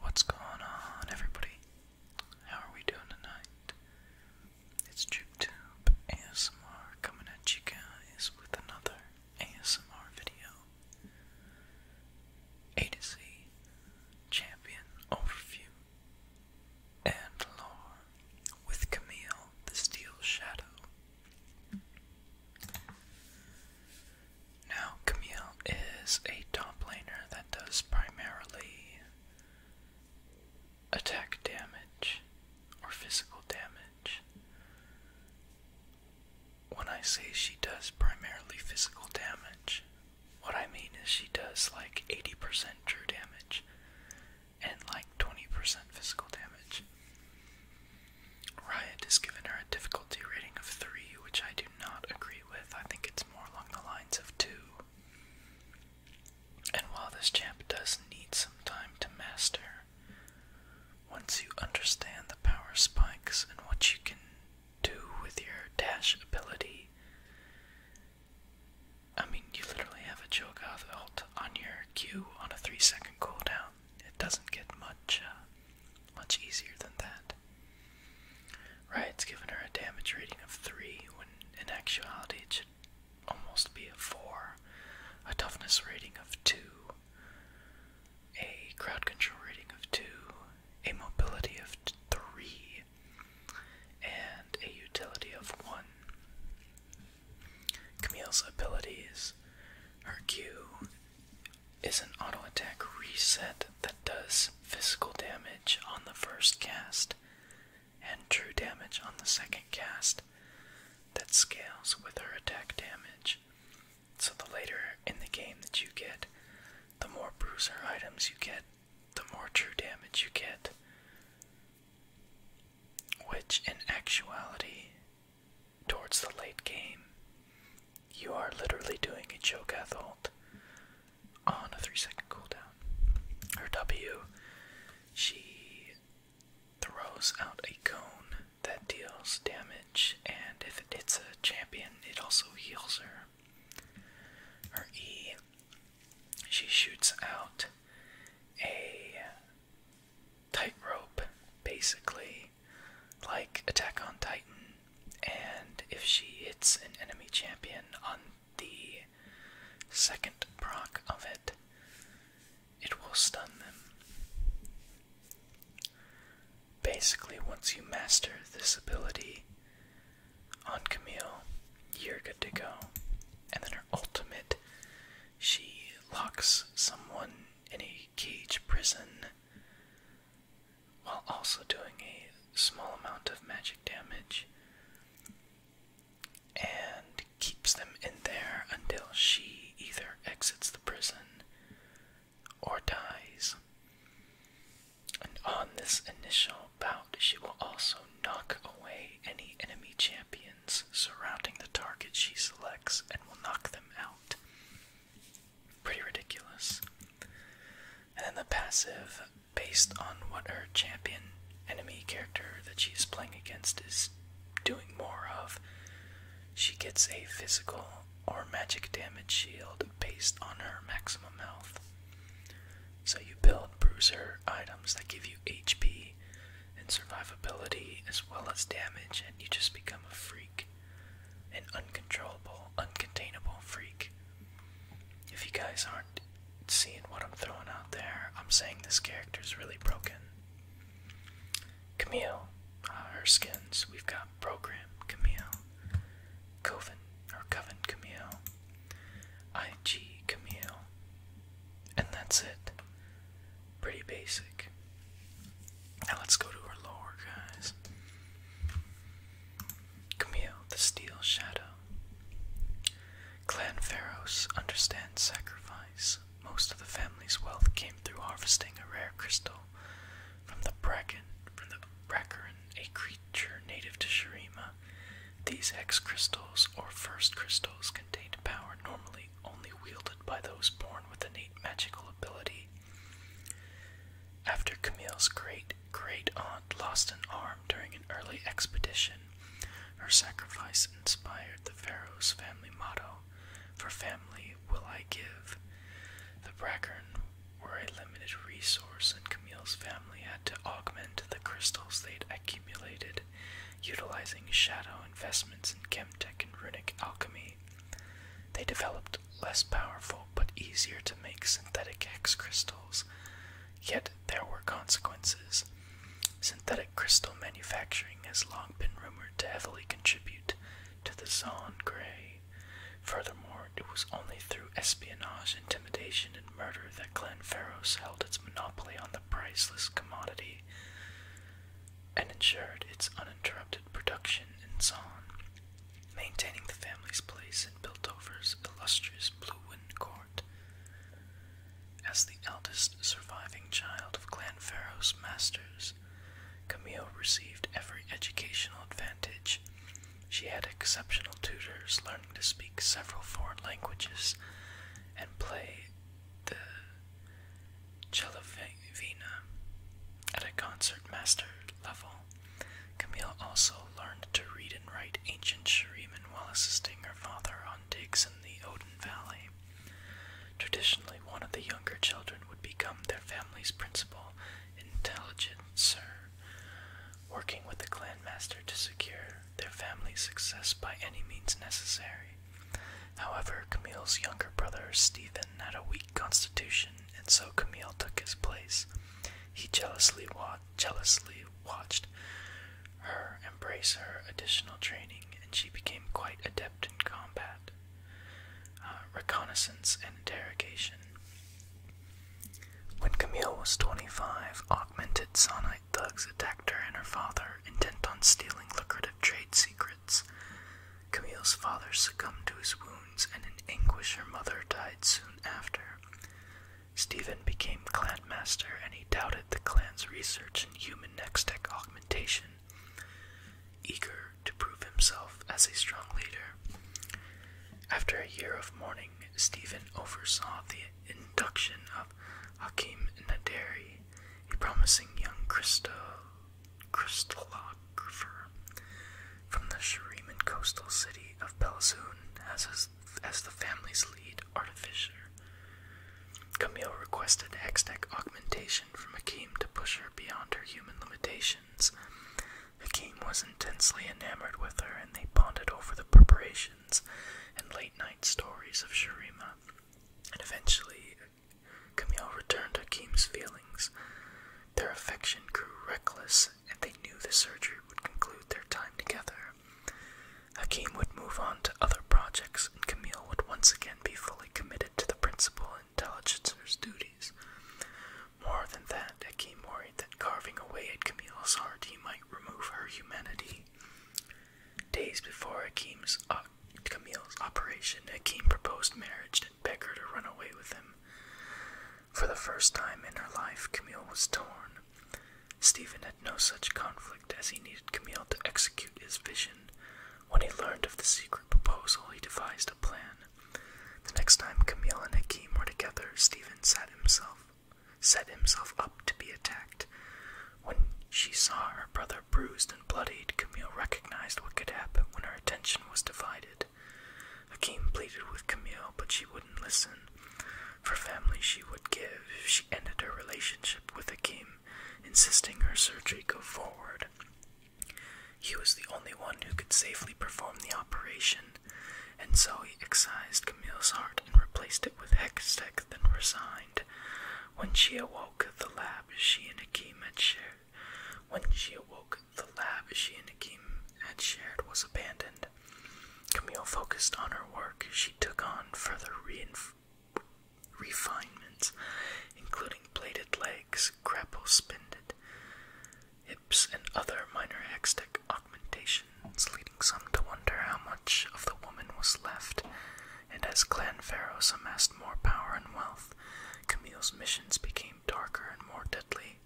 What's going on, everybody? How are we doing tonight? It's JukeTube ASMR coming at you guys with another ASMR video. A to C, champion overview and lore with Camille the Steel Shadow. Now, Camille is a top laner that does primarily attack damage or physical damage. When I say she does primarily physical damage, what I mean is she does like 80% true damage and like 20% physical damage. Riot has given her a difficulty rating of 3, which I do not agree with. I think it's more along the lines of 2. And while this champ does need some time to master, once you understand the power spikes and what you can do with your dash ability. I mean, you literally have a Cho'Gath ult on your Q on a three second cooldown. It doesn't get much, uh, much easier than that. Right, it's given her a damage rating of three when in actuality it should almost be a four, a toughness rating of two, a crowd control rating of two, a mobility of three, and a utility of one. Camille's abilities. Her Q is an auto attack reset that does physical damage on the first cast and true damage on the second cast that scales with her attack damage. So the later in the game that you get, the more bruiser items you get, the more true damage you get. Which, in actuality, towards the late game, you are literally doing a Cho'Gath ult on a 3 second cooldown. Her W, she throws out a cone that deals damage, and if it hits a champion, it also heals her. Her E, she shoots out a tightrope, basically, like Attack on Titan. And if she hits an enemy champion on the second proc of it, it will stun them. Basically, once you master this ability on Camille, you're good to go. And then her ultimate, she locks someone in a cage prison while also doing a small amount of magic damage and keeps them in there until she either exits the prison or dies. And on this initial bout, she will also knock away any enemy champions surrounding the target she selects and will knock them out. Pretty ridiculous. And then the passive, based on what her champion enemy character that she is playing against is doing more of, she gets a physical or magic damage shield based on her maximum health. So you build bruiser items that give you HP and survivability as well as damage, and you just become a freak. An uncontrollable, uncontainable freak. If you guys aren't seeing what I'm throwing out there, I'm saying this character's really broken. Camille, uh, her skins, we've got Program Camille, Coven or Coven Camille, IG Camille, and that's it. Pretty basic. Now let's go to our lower guys. Camille, the Steel Shadow. Clan Pharos understands sacrifice. Most of the family's wealth came through harvesting a rare crystal from the Bracken from the Bracarin a creature native to Shurima. These hex crystals, or first crystals, contained power normally only wielded by those born with innate magical ability. After Camille's great great aunt lost an arm during an early expedition, her sacrifice inspired the pharaoh's family motto, For family will I give. The Brackern were a limited resource, and Camille's family had to augment the crystals they'd accumulated, utilizing shadow investments in chemtech and runic alchemy. They developed less powerful but easier to make synthetic hex crystals, yet there were consequences. Synthetic crystal manufacturing has long been rumored to heavily contribute to the Zon Grey. Furthermore, it was only through espionage, intimidation, and murder that Clan Glenferros held its monopoly on the priceless commodity and ensured its uninterrupted production and song, maintaining the family's place in Biltover's illustrious Blue Wind court. As the eldest surviving child of Clan Glenferros masters, Camille received every educational advantage she had exceptional tutors, learning to speak several foreign languages and play the Chelavina at a concertmaster level. Camille also learned to read and write ancient Shuriman while assisting her father on digs in the Odin Valley. Traditionally, one of the younger children would become their family's principal intelligencer, working with the clan master to secure their family's success by any means necessary. However, Camille's younger brother, Stephen, had a weak constitution, and so Camille took his place. He jealously, watched her embrace her additional training, and she became quite adept in combat, uh, reconnaissance, and interrogation. When Camille was 25, augmented Sonite thugs attacked her and her father, intent on stealing lucrative trade secrets. Camille's father succumbed to his wounds, and in anguish, her mother died soon after. Stephen became clan master, and he doubted the clan's research in human next tech augmentation. Eager to prove himself as a strong leader, after a year of mourning, Stephen oversaw the induction of Hakim Naderi, a promising young crystal, crystallographer from the Shariman coastal city of Belzoon as, the family's lead artificer. Camille requested hextech augmentation from Hakim to push her beyond her human limitations preparations. was intensely enamored with her, and they pondered over the preparations and late night stories of Shirima. And eventually, Camille returned Hakim's feelings. Their affection grew reckless, and they knew the surgery would conclude their time together. Hakim would move on to other projects, and Camille would once again be fully committed to the principal intelligencer's duties. More than that, it worried that carving away at Camille's heart he might remove her humanity. Days before Akim's, uh, Camille's operation, Akim proposed marriage and begged her to run away with him. For the first time in her life, Camille was torn. Stephen had no such conflict as he needed Camille to execute his vision. When he learned of the secret proposal, he devised a plan. The next time Camille and Akim were together, Stephen set himself set himself up to be attacked. When she saw her brother bruised and bloodied, Camille recognized what could happen when her attention was divided. Akim pleaded with Camille, but she wouldn't listen. For family she would give, she ended her relationship with Akim, insisting her surgery go forward. He was the only one who could safely perform the operation, and so he excised Camille's heart and replaced it with Hextech, then resigned. When she awoke, the lab she and Akim had shared when she awoke, the lab she and Akim had shared was abandoned. Camille focused on her work. She took on further refinements, including plated legs, grapple spindled and other minor hextech augmentations, leading some to wonder how much of the woman was left. And as clan pharaohs amassed more power and wealth, Camille's missions became darker and more deadly.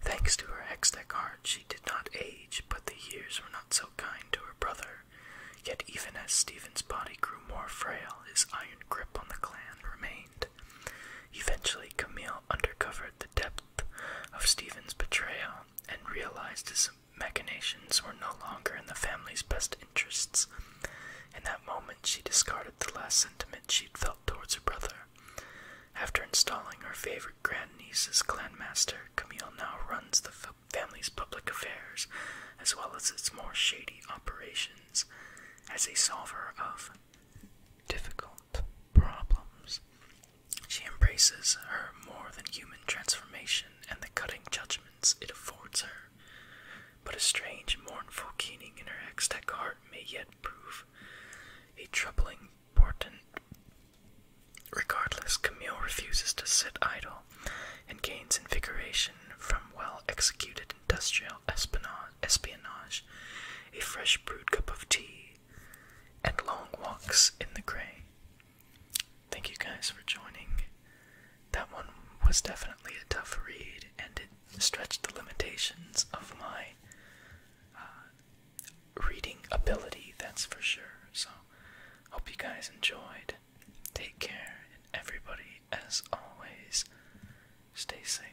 Thanks to her hextech art, she did not age, but the years were not so kind to her brother. Yet even as Stephen's body grew more frail, his iron grip on the clan remained. Eventually, Camille uncovered the depth of Stephen's betrayal and realized his machinations were no longer in the family's best interests. In that moment, she discarded the last sentiment she'd felt towards her brother. After installing her favorite grandniece as clanmaster, Camille now runs the family's public affairs as well as its more shady operations as a solver of difficult problems. She embraces her more than human transformation and the cutting judgments it affords her. But a strange, mournful keening in her ecstatic heart may yet prove a troubling portent. Regardless, Camille refuses to sit idle and gains invigoration from well executed industrial espionage, a fresh brewed cup of tea, and long walks in the gray. Thank you guys for joining. That one was definitely a tough read, and it stretched the limitations of my uh, reading ability, that's for sure. So, hope you guys enjoyed. Take care, and everybody, as always, stay safe.